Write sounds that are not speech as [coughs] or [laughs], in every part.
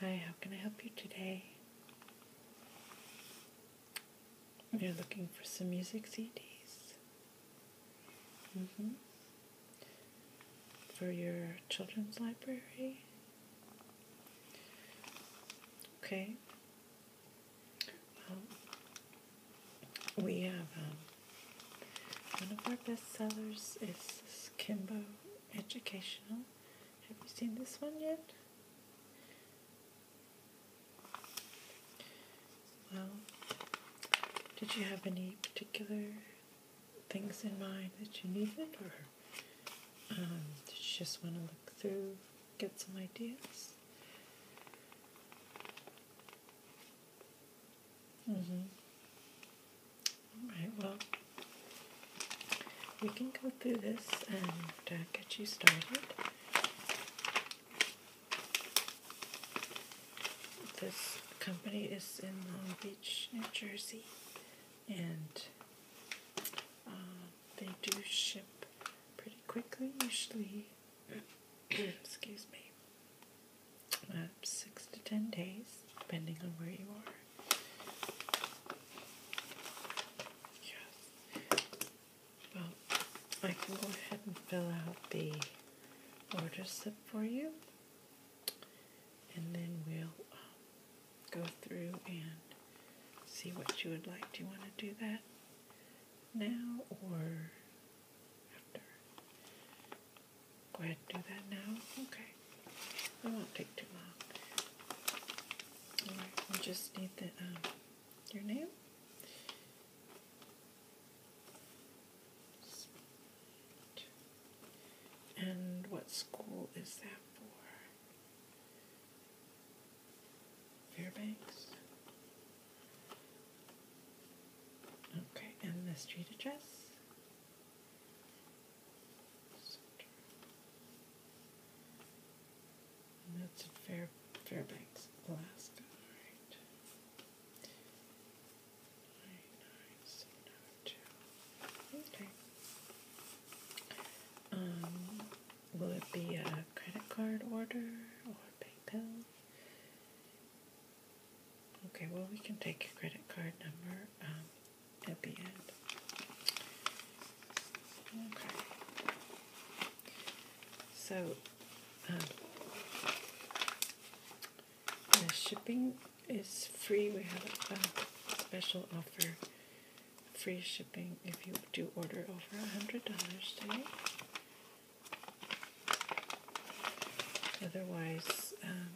Hi, how can I help you today? You're looking for some music CDs? Mm-hmm. For your children's library? Okay. we have um, one of our best sellers is Kimbo educational. Have you seen this one yet? Well, did you have any particular things in mind that you needed, or um, just want to look through, get some ideas? Mm-hmm. Alright, well, we can go through this and uh, get you started. This company is in Long Beach, New Jersey, and uh, they do ship pretty quickly, usually. [coughs] Excuse me uh, six to ten days, depending on where you are. Yes. Well, I can go ahead and fill out the order slip for you, and then we'll um, go through and see what you would like. Do you want to do that now or after? Go ahead and do that now. Okay. It won't take too long. Alright, we just need the um, your name And what school is that for? Fairbanks. Okay, and the street address? that's in Fair, Fairbanks, Alaska. All right. Nine, nine, seven, nine, oh, two. Okay. Um, will it be a credit card order or PayPal? Okay, well, we can take your credit card number um, at the end. Okay. So, um, the shipping is free. We have a special offer, free shipping if you do order over $100 today. Otherwise, um,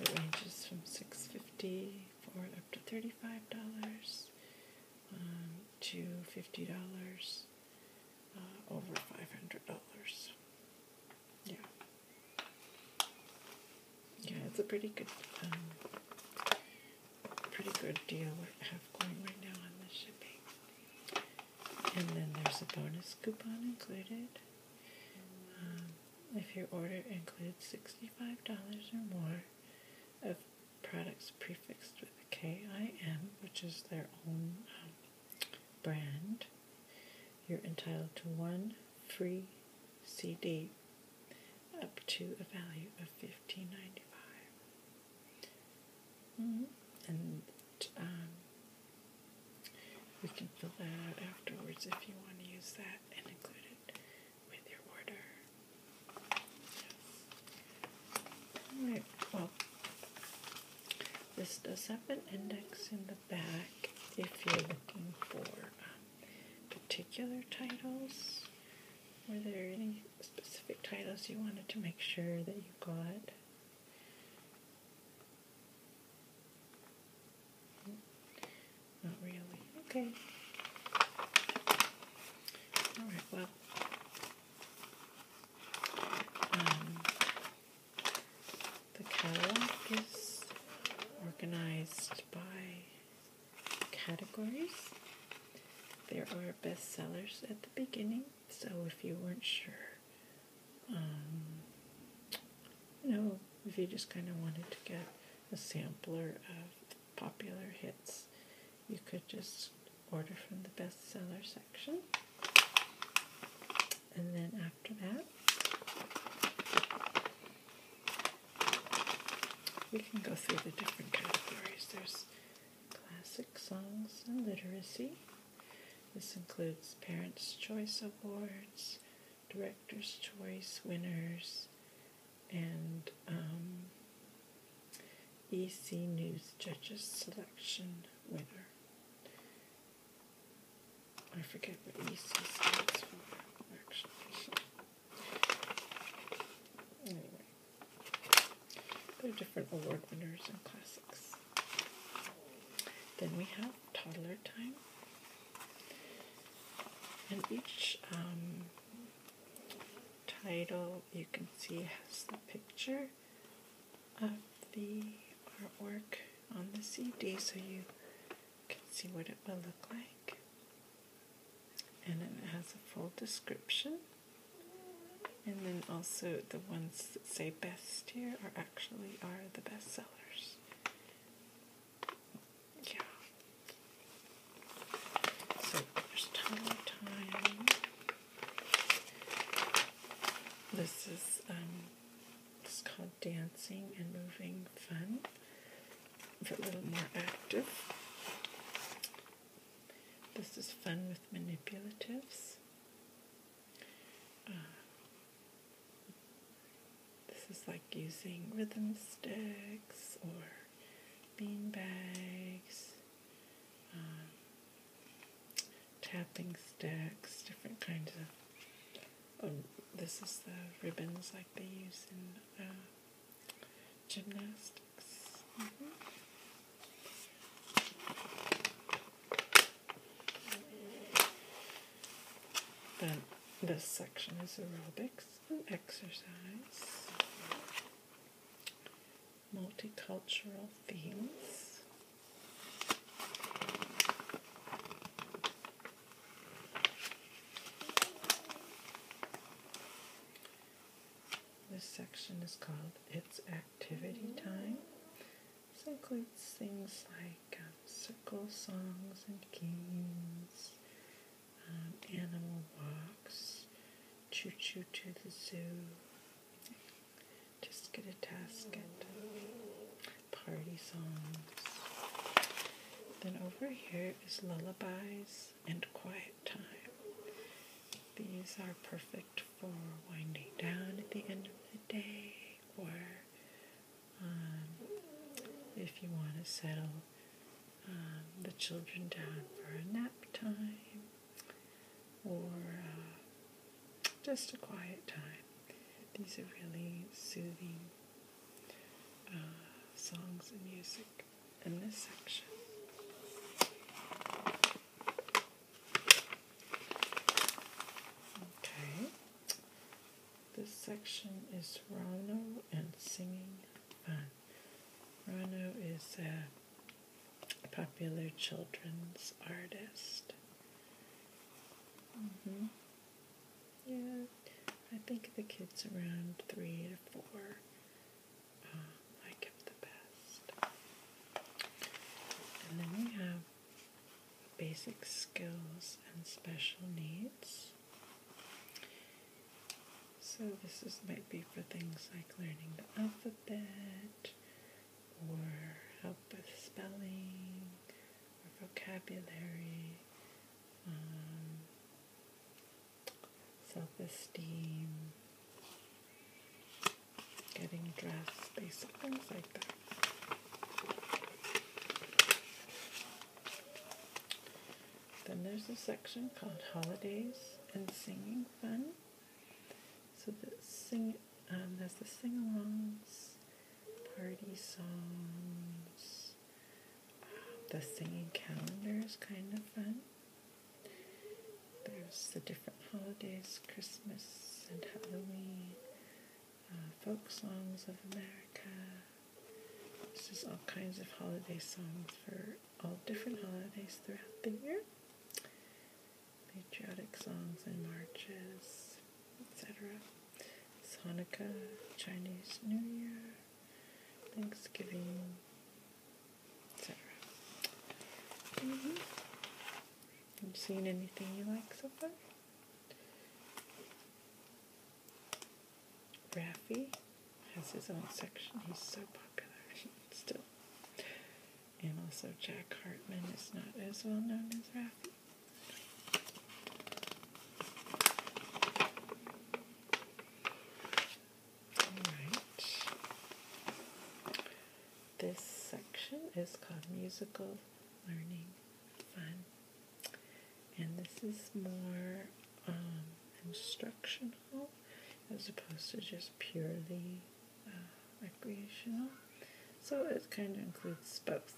it ranges from six fifty forward up to thirty-five dollars um, to fifty dollars uh, over five hundred dollars. Yeah, yeah, it's a pretty good, um, pretty good deal we have going right now on the shipping. And then there's a bonus coupon included. Um, if your order includes $65 or more of products prefixed with a KIM, which is their own um, brand, you're entitled to one free CD up to a value of $15.95. Mm-hmm. And um, we can fill that out afterwards if you want to use that and include it with your order. Alright, well, this does have an index in the back if you're looking for um, particular titles. Were there any specific titles you wanted to make sure that you got? Not really. Okay. All right, well. Um, the catalog is organized by categories. There are bestsellers at the beginning, so if you weren't sure, you um, know, if you just kind of wanted to get a sampler of popular hits, you could just order from the bestseller section. And then after that, we can go through the different categories. There's classic songs and literacy. This includes Parents' Choice Awards, Directors' Choice winners, and um, EC News Judges Selection winner. I forget what EC stands for, actually. [laughs] anyway, there are different award winners and classics. Then we have toddler time. And each um, title you can see has the picture of the artwork on the CD so you can see what it will look like. And it has a full description and then also the ones that say best here are actually are the best sellers. Yeah. So there's time time. This is um it's called dancing and moving fun. But a little more active. This is fun with manipulatives. Uh, this is like using rhythm sticks or bean bags, um, tapping sticks, different kinds of. Um, this is the ribbons like they use in uh, gymnastics. Mm-hmm. Then this section is aerobics and exercise, multicultural themes. This section is called It's activity time. This includes things like um, circle songs and games, um, animal walks, choo choo to the zoo. Just get a task at party songs. Then over here is lullabies and quiet time. These are perfect for winding down at the end of the day, or um, if you want to settle um, the children down for a nap time, or uh, just a quiet time. These are really soothing uh, songs and music in this section. Okay. This section is Rhino and Singing Fun. Rhino is a popular children's artist. Mm -hmm. Yeah, I think the kids around three to four uh, the best. And then we have basic skills and special needs. So this might be for things like learning the alphabet or help with spelling or vocabulary, um, self-esteem, getting dressed, basic things like that. Then there's a section called Holidays and Singing Fun. So the sing, um, there's the sing-alongs, party songs, the singing calendar is kind of fun. There's the different holidays, Christmas and Halloween, uh, folk songs of America. This is all kinds of holiday songs for all different holidays throughout the year. Patriotic songs and marches, etc. Hanukkah, Chinese New Year, Thanksgiving, have mm-hmm. you seen anything you like so far? Raffy has his own section. He's so popular [laughs] still. And also Jack Hartman is not as well known as Raffy. Alright. This section is called Musical Learning Fun. And this is more um, instructional as opposed to just purely uh, recreational. So it kind of includes both.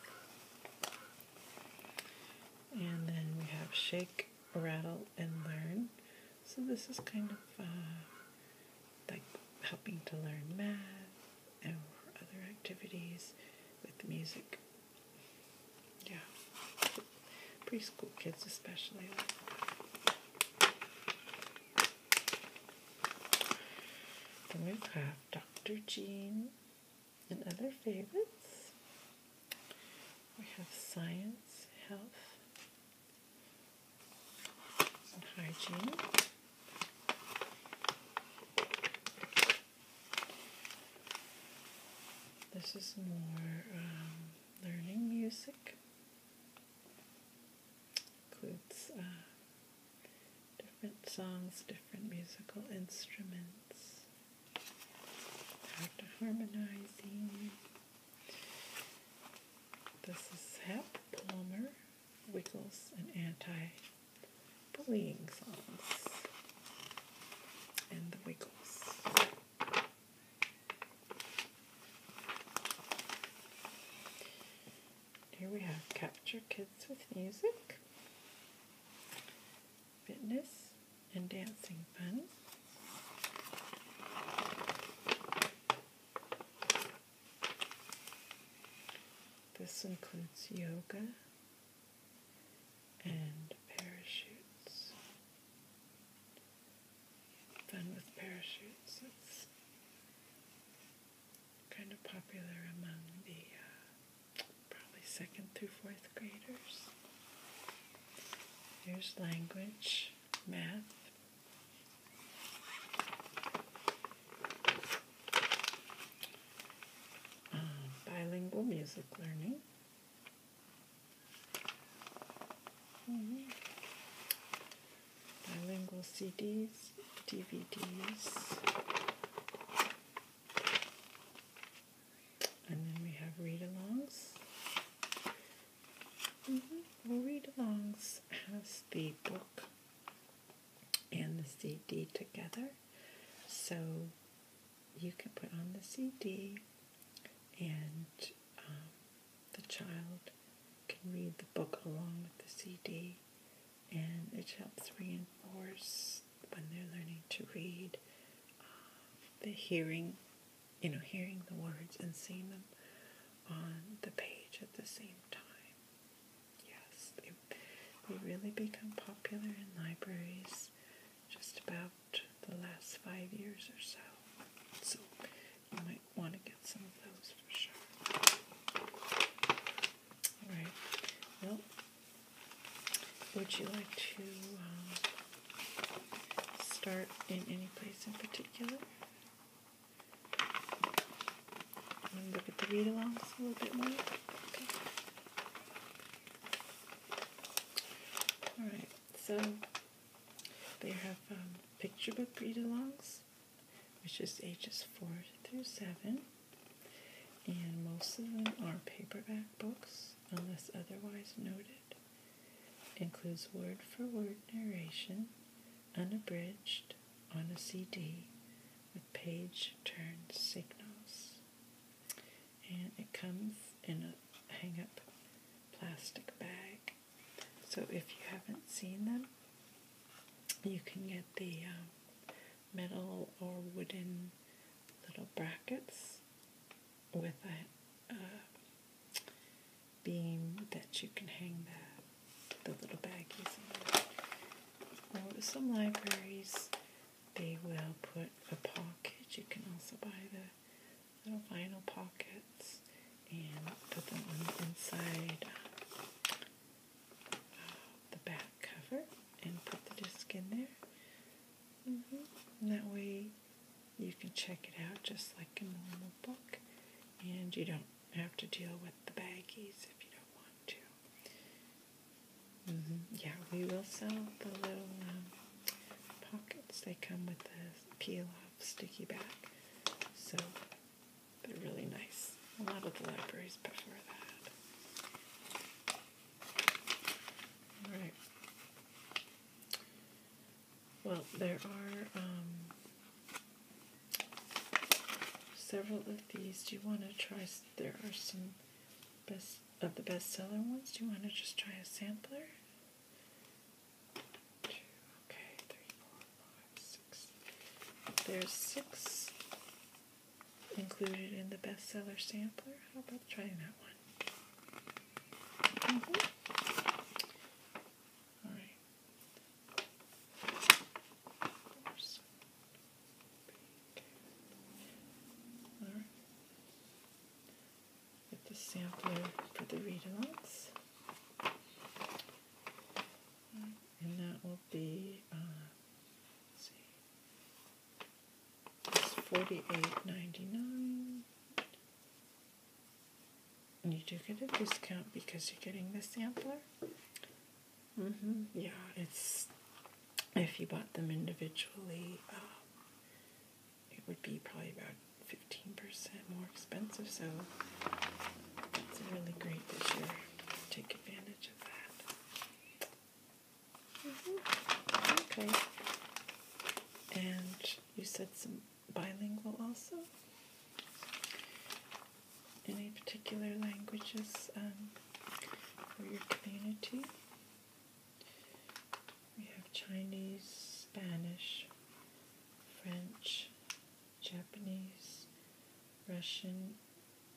And then we have Shake, Rattle, and Learn, so this is kind of uh, like helping to learn math and other activities with music. Yeah, preschool kids especially. Then we have Dr. Jean and other favorites. We have science, health, hygiene. This is more um, learning music. Includes uh, different songs, different musical instruments, how to harmonizing. This is Hap Plummer, Wiggles, and Anti Bullying Songs, and the Wiggles. Here we have Capture Kids with Music, Fitness, and Dancing Fun. This includes yoga and parachutes. Fun with parachutes. It's kind of popular among the uh, probably second through fourth graders. There's language math. Um, bilingual music learning. Hmm. Bilingual CDs, DVDs. And then we have read alongs. Mm mm-hmm. read alongs has the book and the CD together, so you can put on the CD and um, the child can read the book along with the CD, and it helps reinforce when they're learning to read uh, the hearing you know, hearing the words and seeing them on the page at the same time. Yes, they, they really become popular in libraries just about the last five years or so. So you might want to get some of those for sure. Alright, well, would you like to um, start in any place in particular. I'm going to look at the read alongs a little bit more. Okay. Alright, so they have um, picture book read alongs, which is ages 4 through 7. And most of them are paperback books, unless otherwise noted standard. Includes word for word narration, unabridged, on a CD with page turn signals. And it comes in a hang up plastic bag. So if you haven't seen them, you can get the um, metal or wooden little brackets with a uh, beam that you can hang that, the little baggies in. Well, some libraries, they will put a pocket. You can also buy the little vinyl pockets and put them on the inside uh, the back cover and put the disc in there. Mm-hmm. And that way you can check it out just like a normal book, and you don't have to deal with the baggies if you don't want to. Mm-hmm. Yeah, we will sell the little um, pockets. They come with the peel off sticky back, so they're really nice. A lot of the libraries prefer that. All right. Well, there are um, several of these. Do you want to try? There are some best of the bestseller ones. Do you want to just try a sampler? Two, There's six included in the bestseller sampler. How about trying that one? Mm All right. Horse. All right. Get the sampler for the read-alongs. And that will be, uh, see, it's forty-eight ninety-nine. You do get a discount because you're getting the sampler. Mm-hmm. Yeah, it's if you bought them individually, um, it would be probably about fifteen percent more expensive. So it's really great that you take advantage of that. Okay. And you said some bilingual also? Any particular languages um, for your community? We have Chinese, Spanish, French, Japanese, Russian,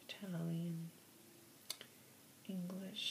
Italian, English.